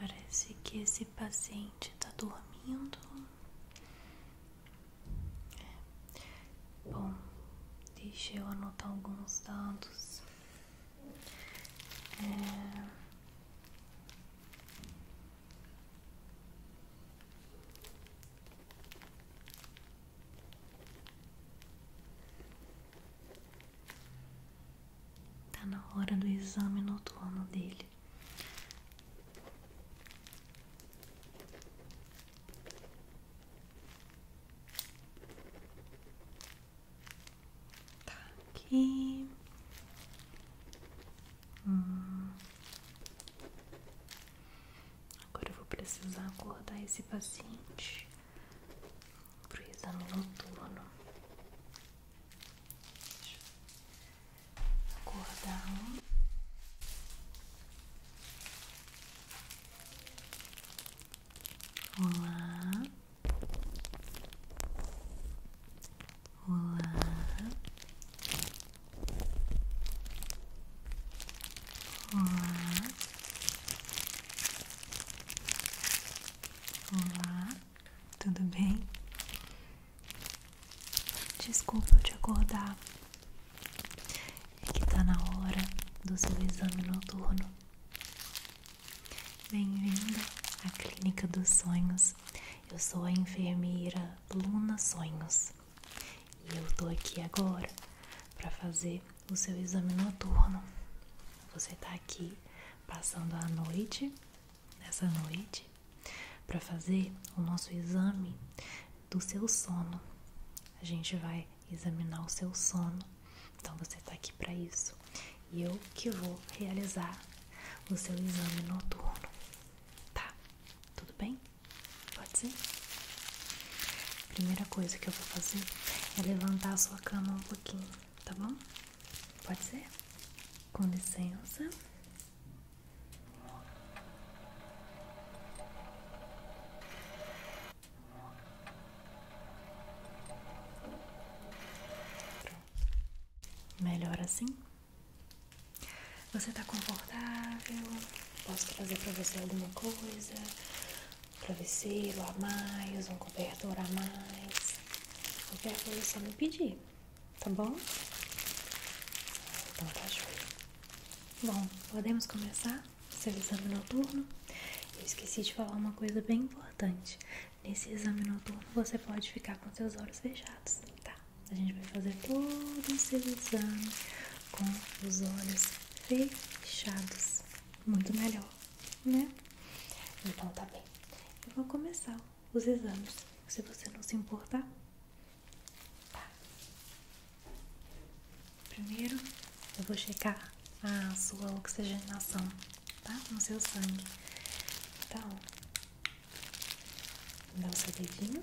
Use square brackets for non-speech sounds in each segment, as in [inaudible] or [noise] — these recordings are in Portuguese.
Parece que esse paciente está dormindo. É. Bom, deixe eu anotar alguns dados. É... Tá na hora do exame noturno dele. Tá aqui. Hum. Agora eu vou precisar acordar esse paciente pro exame noturno. acordar Olá. Olá. Olá. Olá. Tudo bem? Desculpa eu te acordar. É que tá na hora do seu exame noturno. Bem-vinda à Clínica dos Sonhos. Eu sou a enfermeira Luna Sonhos e eu tô aqui agora para fazer o seu exame noturno. Você tá aqui passando a noite, nessa noite, para fazer o nosso exame do seu sono. A gente vai examinar o seu sono, então você tá aqui para isso e eu que vou realizar o seu exame noturno. Tá? Tudo bem? Pode ser? A primeira coisa que eu vou fazer é levantar a sua cama um pouquinho, tá bom? Pode ser? Com licença. Melhor assim? Você tá confortável? Posso trazer pra você alguma coisa? Um travesseiro a mais, um cobertor a mais? Qualquer coisa você me pedir, tá bom? Então tá joia. Bom, podemos começar? Seu exame noturno? Eu esqueci de falar uma coisa bem importante. Nesse exame noturno você pode ficar com seus olhos fechados, tá? A gente vai fazer todo o seu exame com os olhos fechados. Muito melhor, né? Então tá bem. Eu vou começar os exames, se você não se importar. Tá. Primeiro eu vou checar a sua oxigenação tá? No seu sangue. Então, dá o seu dedinho.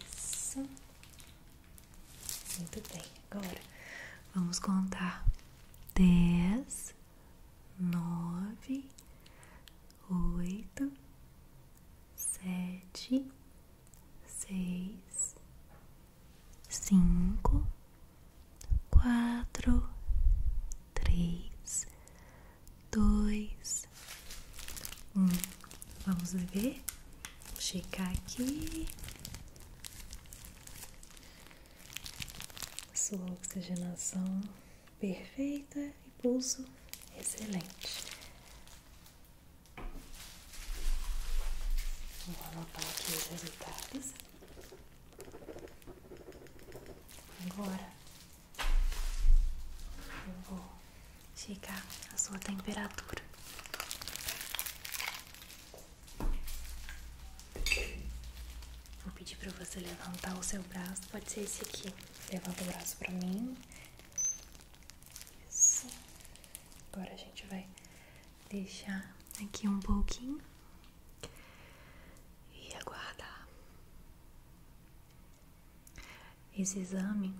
Isso. Muito bem. Agora, vamos contar. Dez, nove, oito, sete, seis, cinco, quatro, três, dois, um. Vamos ver, checar aqui. Sua oxigenação perfeita e pulso excelente. Vou anotar aqui os resultados. Agora eu vou chegar a sua temperatura. Vou pedir para você levantar o seu braço, pode ser esse aqui. Levanta o braço para mim. Isso. Agora a gente vai deixar aqui um pouquinho e aguardar. Esse exame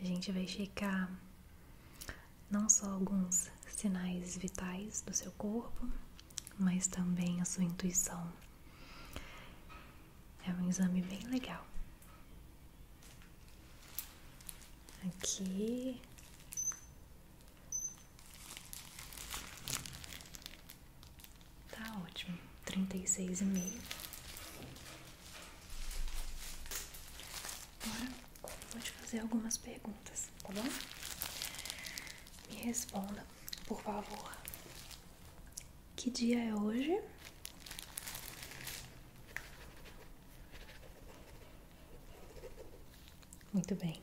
a gente vai checar não só alguns sinais vitais do seu corpo, mas também a sua intuição. É um exame bem legal. Aqui, Tá ótimo, trinta e seis e meio. Agora vou te fazer algumas perguntas, tá bom? Me responda, por favor. Que dia é hoje? Muito bem.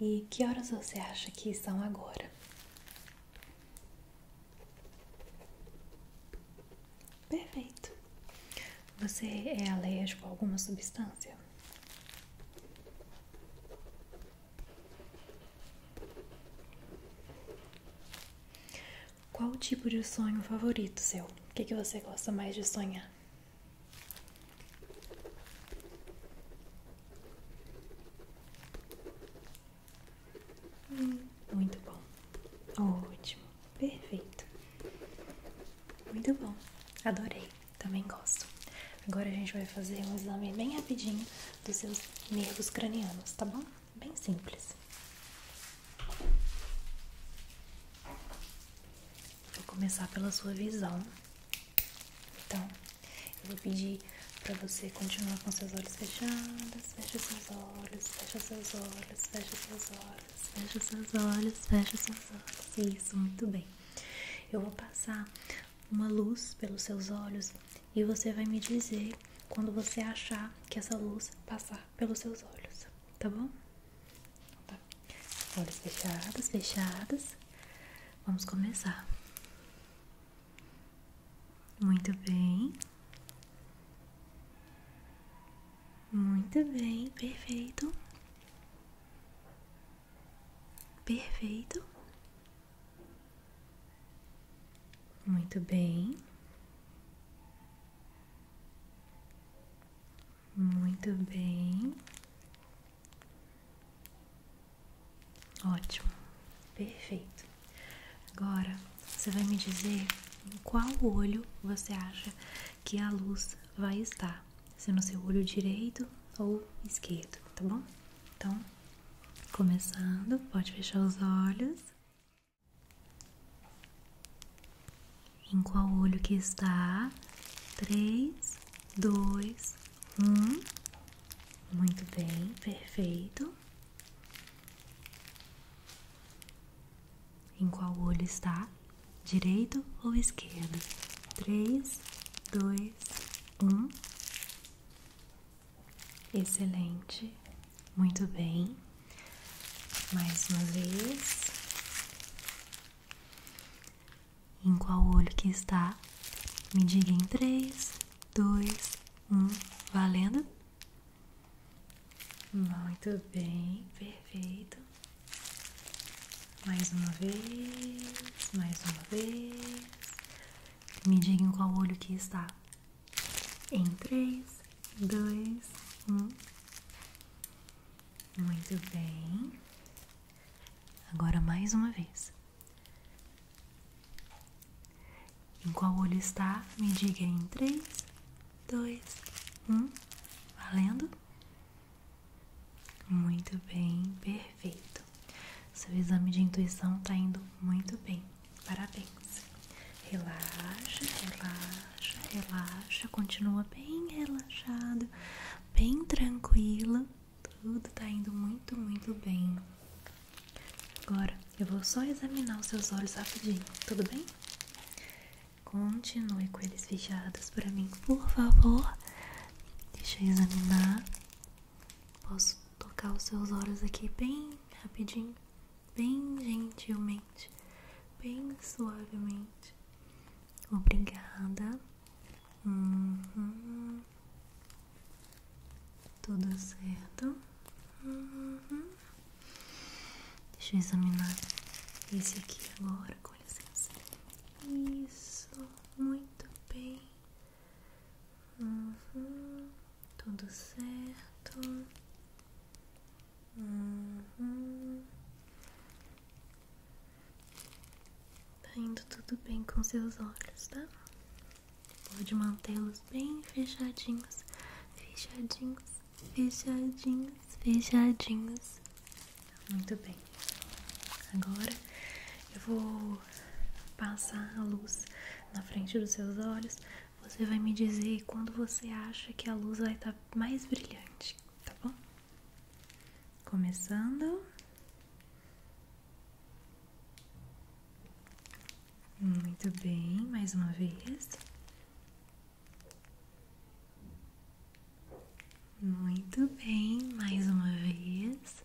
E que horas você acha que são agora? Perfeito. Você é alérgico a alguma substância? Qual o tipo de sonho favorito seu? O que, que você gosta mais de sonhar? Hum, muito bom. Ótimo. Perfeito. Muito bom. Adorei. Também gosto. Agora a gente vai fazer um exame bem rapidinho dos seus nervos cranianos, tá bom? Bem simples. Vou começar pela sua visão. Então, eu vou pedir para você continuar com seus olhos fechados. Fecha seus olhos, fecha seus olhos, fecha seus olhos, fecha seus olhos, fecha seus olhos. Isso, muito bem. Eu vou passar uma luz pelos seus olhos e você vai me dizer quando você achar que essa luz passar pelos seus olhos, tá bom? Olhos fechados, fechados. Vamos começar. Muito bem. Muito bem, perfeito. Perfeito. Muito bem. Muito bem. Ótimo. Perfeito. Agora, você vai me dizer em qual olho você acha que a luz vai estar. Se no seu olho direito ou esquerdo, tá bom? Então, começando, pode fechar os olhos em qual olho que está? 3, 2, 1. Muito bem, perfeito. Em qual olho está? Direito ou esquerdo? 3, 2, 1. Excelente. Muito bem. Mais uma vez em qual olho que está? Me diga em 3, 2, 1, valendo? Muito bem, perfeito. Mais uma vez, mais uma vez. Me diga em qual olho que está. Em 3, 2, 1. Muito bem. Agora mais uma vez. Em qual olho está? Me diga em 3, 2, 1. Valendo? Muito bem, perfeito. Seu exame de intuição está indo muito bem. Parabéns. Relaxa, relaxa relaxa, relaxa, continua bem relaxado, bem tranquilo. Tudo tá indo muito, muito bem. Agora eu vou só examinar os seus olhos rapidinho, tudo bem? Continue com eles fechados para mim, por favor. Deixa eu examinar. Posso tocar os seus olhos aqui bem rapidinho, bem gentilmente, bem suavemente. Obrigada. Uhum. Tudo certo. Uhum. Deixa eu examinar esse aqui agora, com licença. Isso, muito bem. Uhum. Tudo certo. Uhum. Tá indo tudo bem com seus olhos, tá? Pode mantê-los bem fechadinhos, fechadinhos, fechadinhos, fechadinhos. Muito bem. Agora eu vou passar a luz na frente dos seus olhos. Você vai me dizer quando você acha que a luz vai estar tá mais brilhante, tá bom? Começando. Muito bem, mais uma vez. Muito bem, mais uma vez.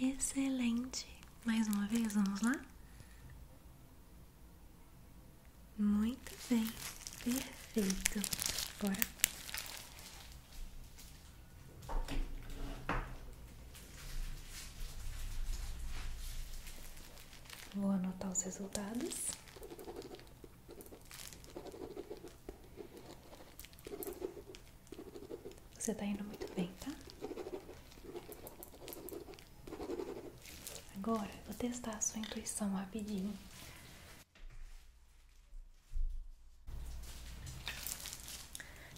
Excelente. Mais uma vez, vamos lá? Muito bem, perfeito. Bora. Vou anotar os resultados. Você está indo muito bem, tá? Agora vou testar a sua intuição rapidinho.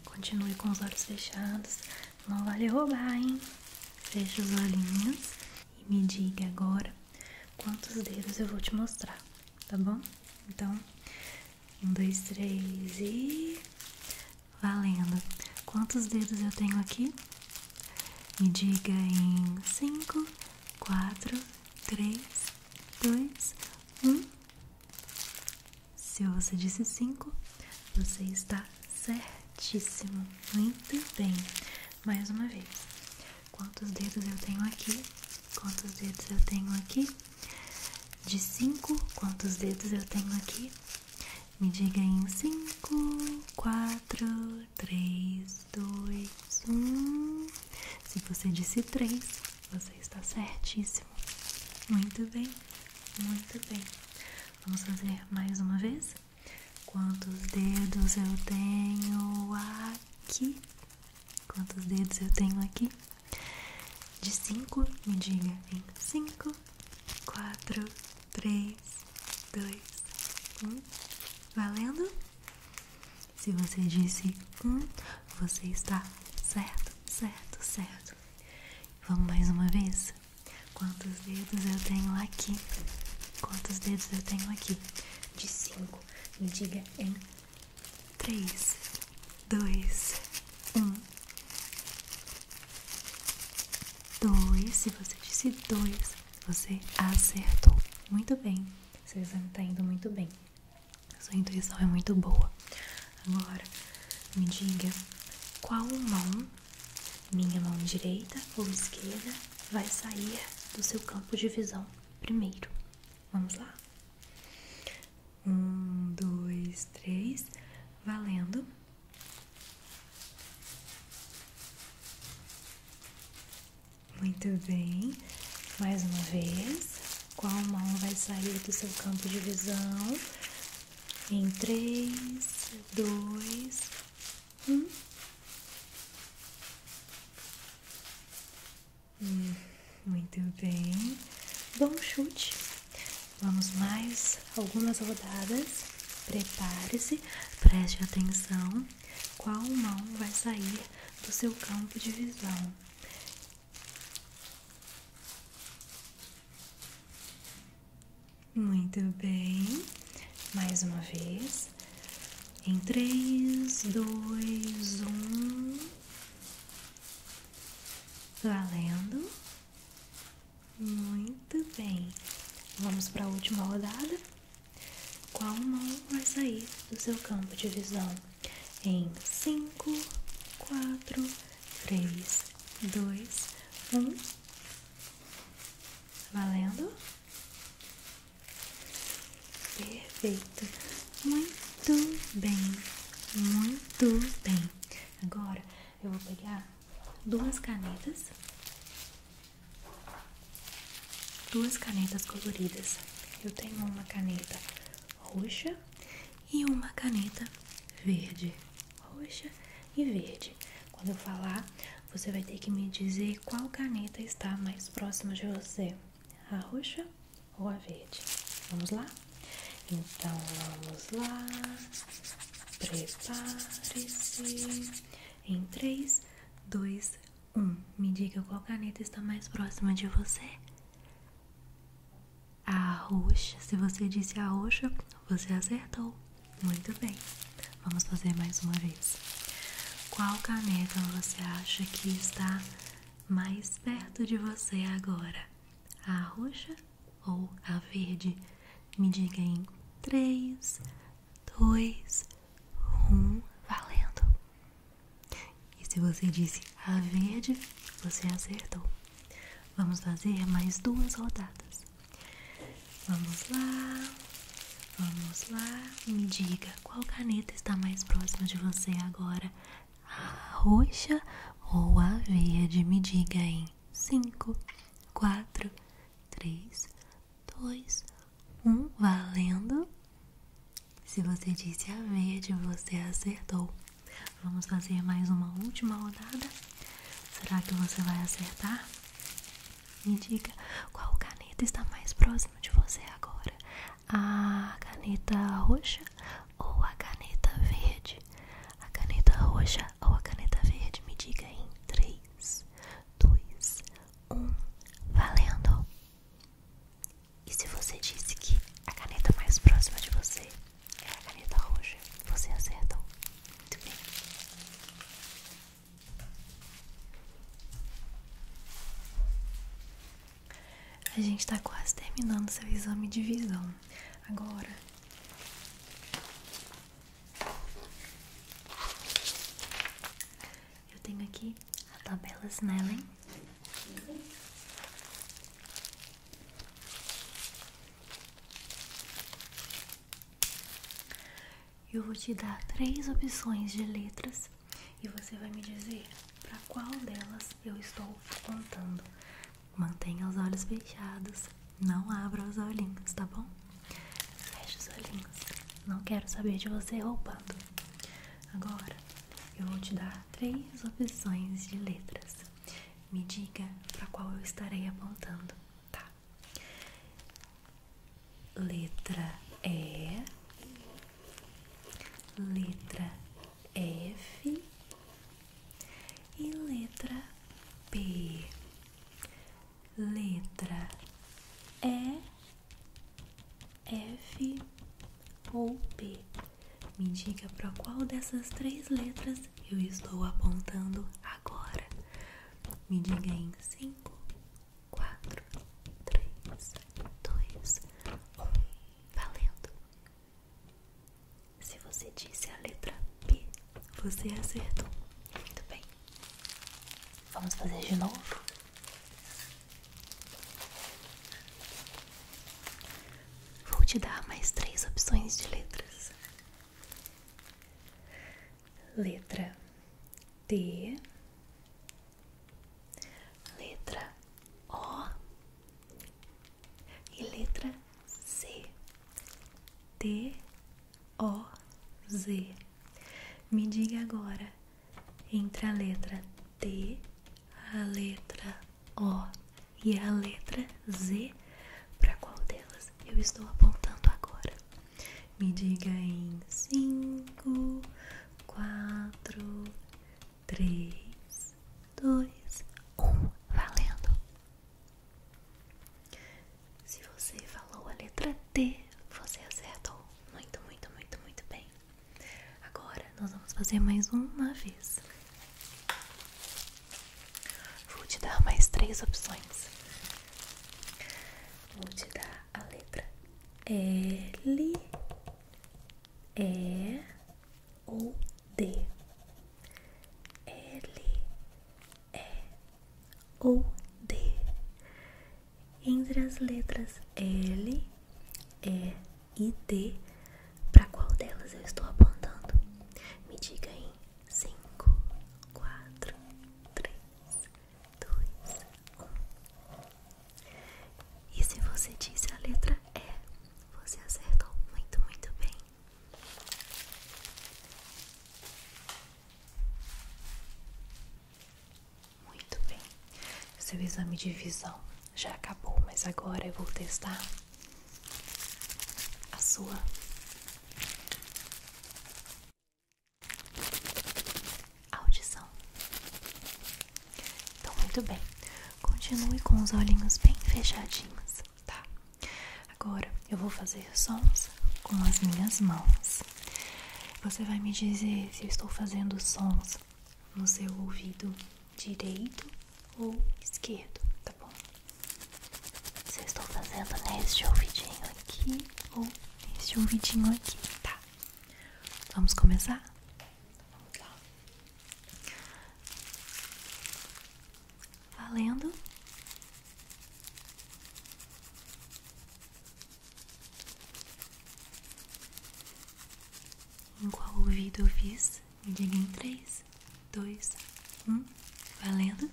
Continue com os olhos fechados. Não vale roubar, hein? Feche os olhinhos e me diga agora quantos dedos eu vou te mostrar, tá bom? Então, um, dois, três e. Valendo. Quantos dedos eu tenho aqui? Me diga em 5, 4, 3, 2, 1. Se você disse 5, você está certíssimo. Muito bem. Mais uma vez. Quantos dedos eu tenho aqui? Quantos dedos eu tenho aqui? De 5, quantos dedos eu tenho aqui? Me diga em cinco, quatro, três, dois, um. Se você disse três, você está certíssimo. Muito bem, muito bem. Vamos fazer mais uma vez? Quantos dedos eu tenho aqui? Quantos dedos eu tenho aqui? De cinco, me diga em cinco, quatro, três, dois, um. Valendo? Se você disse um, você está certo, certo, certo. Vamos mais uma vez? Quantos dedos eu tenho aqui? Quantos dedos eu tenho aqui? De cinco. Me diga em três, dois, um dois. Se você disse dois, você acertou. Muito bem. Você está indo muito bem. Sua intuição é muito boa. Agora, me diga qual mão, minha mão direita ou esquerda, vai sair do seu campo de visão primeiro. Vamos lá? Um, dois, três. Valendo. Muito bem, mais uma vez, qual mão vai sair do seu campo de visão? Em três, dois, um. Hum, muito bem, bom chute. Vamos mais algumas rodadas. Prepare-se, preste atenção qual mão vai sair do seu campo de visão. Muito bem, mais uma vez. Em três, dois, um, Valendo. Muito bem. Vamos para a última rodada. Qual mão vai sair do seu campo de visão? Em 5, 4, 3, 2, 1. Valendo? Perfeito. Muito bem. Muito bem. Agora eu vou pegar duas canetas, duas canetas coloridas. Eu tenho uma caneta roxa e uma caneta verde. Roxa e verde. Quando eu falar, você vai ter que me dizer qual caneta está mais próxima de você: a roxa ou a verde. Vamos lá? Então vamos lá, prepare-se. Em 3, 2, 1. Me diga qual caneta está mais próxima de você. A roxa. Se você disse a roxa, você acertou. Muito bem. Vamos fazer mais uma vez. Qual caneta você acha que está mais perto de você agora? A roxa ou a verde, me diga em 3, 2, 1, valendo! E se você disse a verde, você acertou. Vamos fazer mais duas rodadas. Vamos lá, vamos lá. Me diga qual caneta está mais próxima de você agora, a roxa ou a verde? Me diga em 5, 4, 3, 2, 1. Valendo! Se você disse a verde, você acertou. Vamos fazer mais uma última rodada. Será que você vai acertar? Me diga qual caneta está mais próxima de você agora: a caneta roxa ou a caneta verde? A caneta roxa ou a caneta verde, me diga em 3, 2, 1, valendo! E se você disse que a caneta mais próxima de você é a caneta roxa, você acertou. Muito bem. A gente está quase terminando seu exame de visão. Agora eu tenho aqui a tabela Snellen. Eu vou te dar três opções de letras e você vai me dizer para qual delas eu estou contando. Mantenha os olhos fechados. Não abra os olhinhos, tá bom? Feche os olhinhos. Não quero saber de você roubando. Agora eu vou te dar três opções de letras. Me diga para qual eu estarei apontando, tá? Letra E, letra F e letra P, Letra E, F ou P. Me diga para qual dessas três letras eu estou apontando agora. Me diga em 5, 4, 3, 2, 1. Valendo! Se você disse a letra P, você acertou. Muito bem. Vamos fazer de novo? Vou te dar mais três opções de letras: letra T, letra O e letra C. T O Z. Me diga agora entre a letra T, a letra O e a letra Z, para qual delas eu estou apontando agora? Me diga em 5, 4, 3, 2, 1. Valendo! Se você falou a letra T, você acertou. Muito, muito, muito, muito bem. Agora nós vamos fazer mais uma vez. Vou te dar mais três opções. Vou te dar a letra L, E, ou D. L, E ou D. Entre as letras L, E e D, para qual delas eu estou apontando? Me diga em 5, 4, 3, 2, 1. E se você disse a letra E, você acertou muito, muito bem. Muito bem. Seu exame de visão já acabou, mas agora eu vou testar a sua. Audição. Então, muito bem. Continue com os olhinhos bem fechadinhos tá? Agora eu vou fazer sons com as minhas mãos. Você vai me dizer se eu estou fazendo sons no seu ouvido direito ou esquerdo, tá bom? Se estou fazendo neste ouvidinho aqui ou neste ouvidinho aqui, tá? Vamos começar? Vamos lá. Valendo. Em qual ouvido eu fiz? Me diga em 3, 2, 1. Valendo?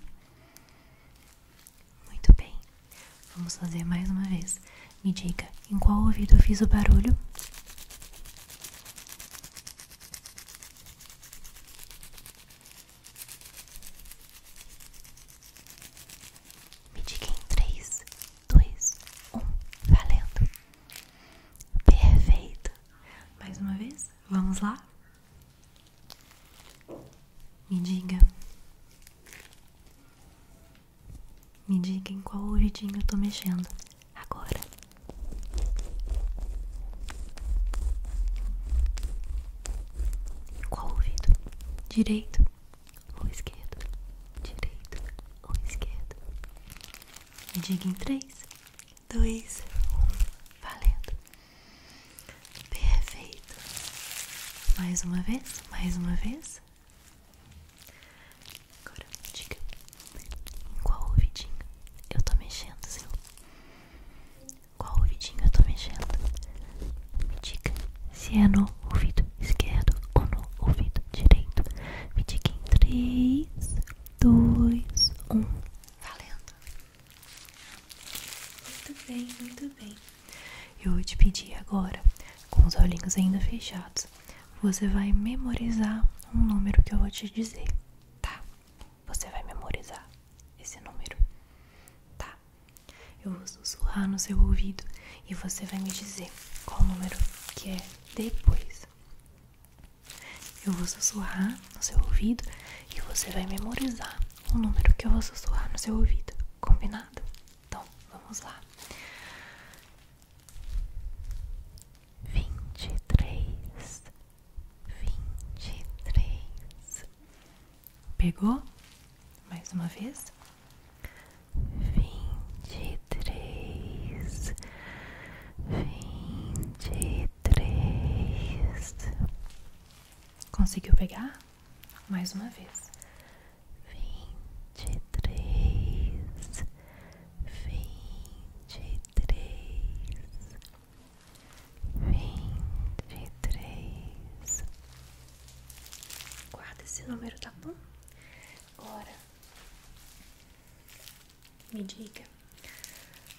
Muito bem. Vamos fazer mais uma vez. Me diga em qual ouvido eu fiz o barulho? Me diga em três, dois, um, valendo! Perfeito! Mais uma vez, vamos lá? Me diga. Me diga em qual ouvidinho eu tô mexendo agora. Qual ouvido? Direito ou esquerdo? Direito ou esquerdo? diga em três dois um valendo. Perfeito. Mais uma vez, mais uma vez. Agora diga em qual ouvidinho eu tô mexendo, seu. Qual ouvidinho eu tô mexendo? Me diga se é no ouvido esquerdo ou no ouvido direito. Me diga em 3, 2, 1. Valendo! Muito bem, muito bem. Eu vou te pedir agora, com os olhinhos ainda fechados, você vai memorizar um número que eu vou te dizer. Tá. Você vai memorizar esse número. Tá. Eu vou sussurrar no seu ouvido e você vai me dizer qual número que é depois. Eu vou sussurrar no seu ouvido e você vai memorizar o número que eu vou sussurrar no seu ouvido. Combinado? Então, vamos lá vinte e três, vinte e três, pegou? Mais uma vez, vinte e três, vinte e três, conseguiu pegar? Mais uma vez. Vinte e três, vinte e três, vinte e três. Guarda esse número, tá bom? Agora, me diga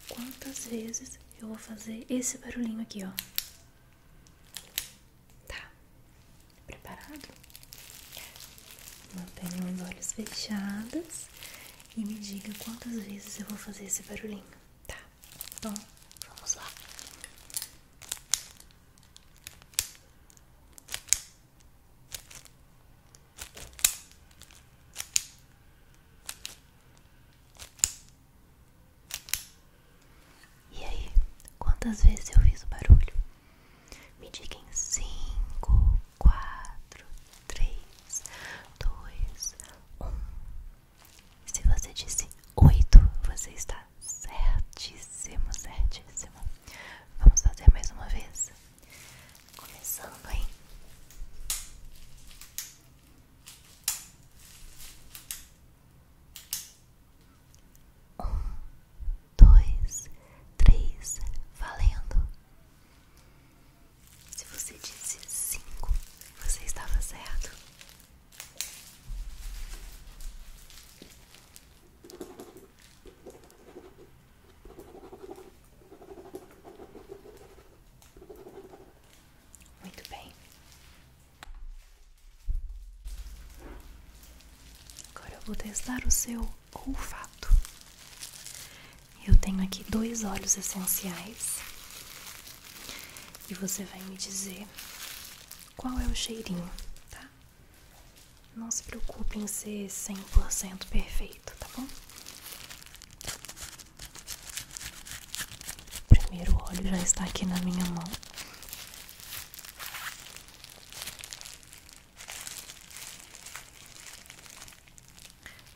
quantas vezes eu vou fazer esse barulhinho aqui, ó. Tá? Preparado? Mantenham os olhos fechados e me diga quantas vezes eu vou fazer esse barulhinho, tá? Bom, então, vamos lá. E aí, quantas vezes eu fiz o barulho? Me diga em cinco, quatro, três, dois, um. Se você disse oito, você está certíssimo, certíssimo. Vamos fazer mais uma vez? Começando, hein? um, dois, três, valendo, se você disse cinco, você estava certo. Muito bem. Agora eu vou testar o seu olfato. Eu tenho aqui dois óleos essenciais e você vai me dizer qual é o cheirinho, tá? Não se preocupe em ser 100% perfeito, tá bom? O primeiro óleo já está aqui na minha mão.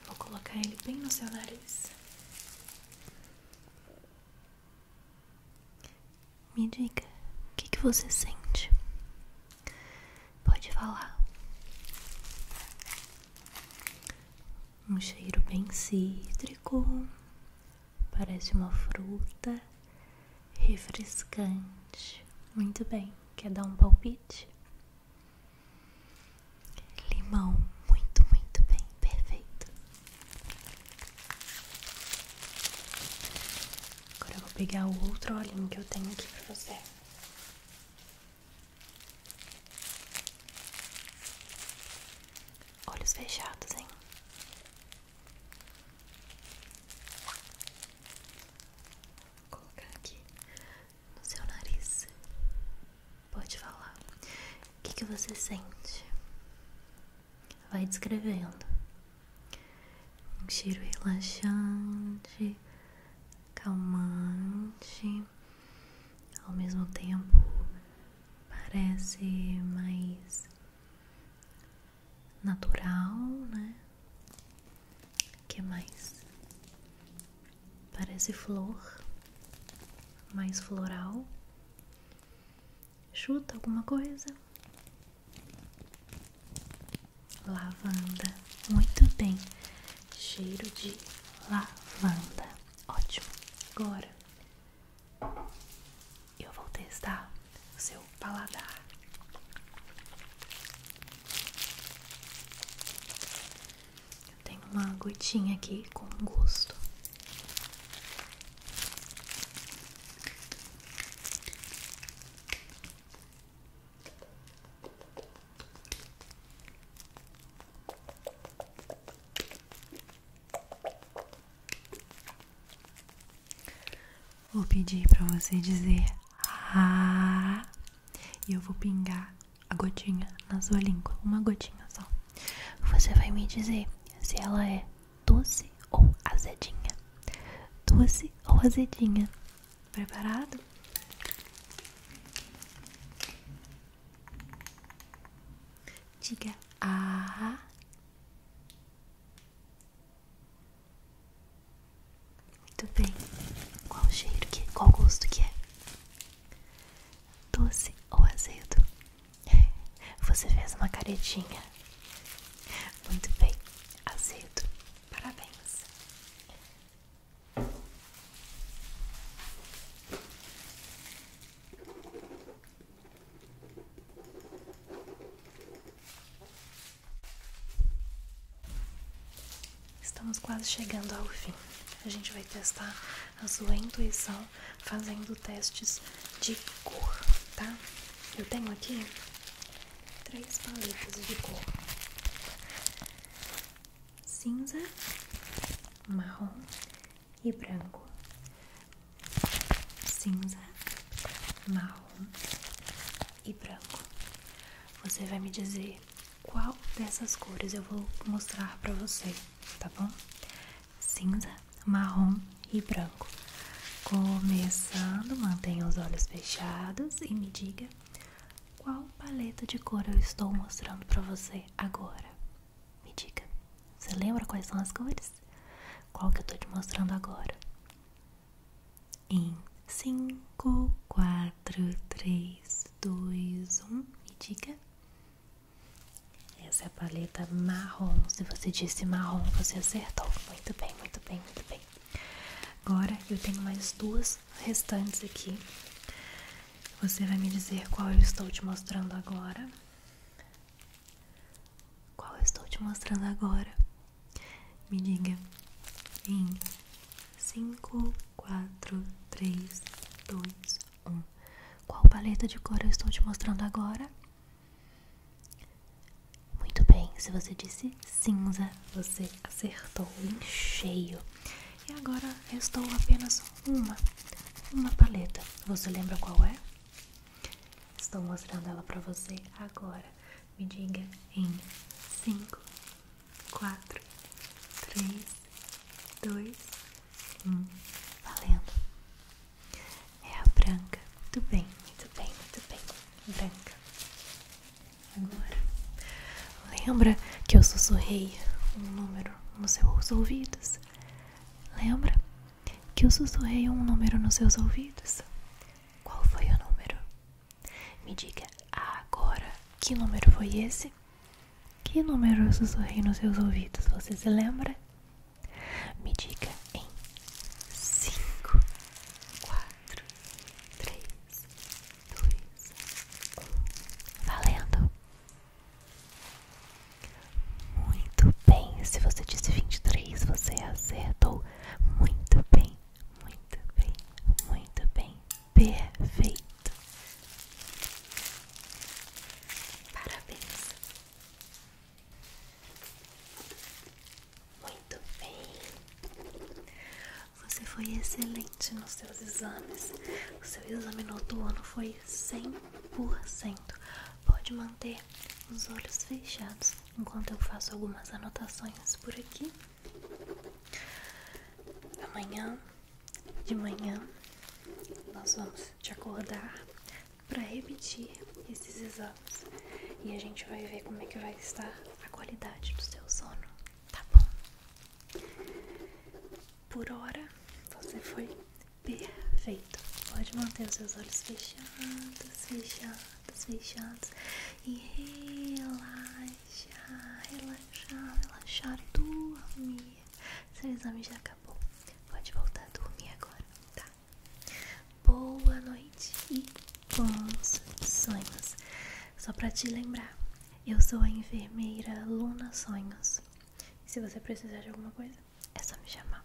Vou colocar ele bem no seu nariz. Me diga, o que, você sente? Pode falar. Um cheiro bem cítrico, parece uma fruta refrescante. Muito bem. Quer dar um palpite? Limão, muito, muito bem, perfeito. Agora eu vou pegar o outro olhinho que eu tenho aqui pra você. Olhos fechados, hein? Vou colocar aqui no seu nariz. Pode falar. O que, que você sente? Vai descrevendo. Um cheiro relaxante, calmante, ao mesmo tempo parece mais natural, né? que mais? Parece flor, mais floral. Chuta alguma coisa. Lavanda, muito bem. Cheiro de lavanda, ótimo. Agora eu vou testar o seu paladar. Eu tenho uma gotinha aqui com gosto. Vou pedir para você dizer ah, e eu vou pingar a gotinha na sua língua, uma gotinha só. Você vai me dizer se ela é doce ou azedinha. Doce ou azedinha? Preparado? Diga ah. Muito bem. Qual cheiro que é? Qual gosto que é? Doce ou azedo? [laughs] Você fez uma caretinha. Muito bem. Azedo. Parabéns. Estamos quase chegando ao fim. A gente vai testar a sua intuição fazendo testes de cor, tá? Eu tenho aqui três paletas de cor: cinza, marrom e branco. Cinza, marrom e branco. Você vai me dizer qual dessas cores eu vou mostrar para você, tá bom? Cinza, marrom e branco. Começando, mantenha os olhos fechados e me diga qual paleta de cor eu estou mostrando para você agora. Me diga. Você lembra quais são as cores? Qual que eu tô te mostrando agora? Em 5, 4, 3, 2, 1, me diga. Essa é a paleta marrom. Se você disse marrom, você acertou. Muito bem, muito bem, muito bem. Agora eu tenho mais duas restantes aqui. Você vai me dizer qual eu estou te mostrando agora? Qual eu estou te mostrando agora? Me diga em 5, 4, 3, 2, 1. Qual paleta de cor eu estou te mostrando agora? Muito bem, se você disse cinza, você acertou em cheio. E agora restou apenas uma, uma paleta. Você lembra qual é? Estou mostrando ela para você agora me diga em 5, 4, 3, 2, 1. Valendo! É a branca. Muito bem, muito bem, muito bem. Branca. Agora, lembra que eu sussurrei um número nos seus ouvidos? Lembra que eu sussurrei um número nos seus ouvidos? Qual foi o número? Me diga agora que número foi esse? Que número eu sussurrei nos seus ouvidos? Você se lembra? Me diga em 5, 4, 3, 2, 1. Valendo! Muito bem! Se você disse 23, você acertou. Muito bem! muito bem, muito bem, perfeito. Parabéns. Muito bem. Você foi excelente nos seus exames. O seu exame noturno foi 100%. Pode manter os olhos fechados enquanto eu faço algumas anotações por aqui. Amanhã de manhã nós vamos te acordar para repetir esses exames e a gente vai ver como é que vai estar a qualidade do seu sono, tá bom? Por hora você foi perfeito. Pode manter os seus olhos fechados, fechados fechadas, fechadas e relaxar, relaxar, relaxar, dormir. Seu exame já acabou, pode voltar a dormir agora, tá? Boa noite e bons sonhos. Só pra te lembrar, eu sou a enfermeira Luna Sonhos. se você precisar de alguma coisa, é só me chamar.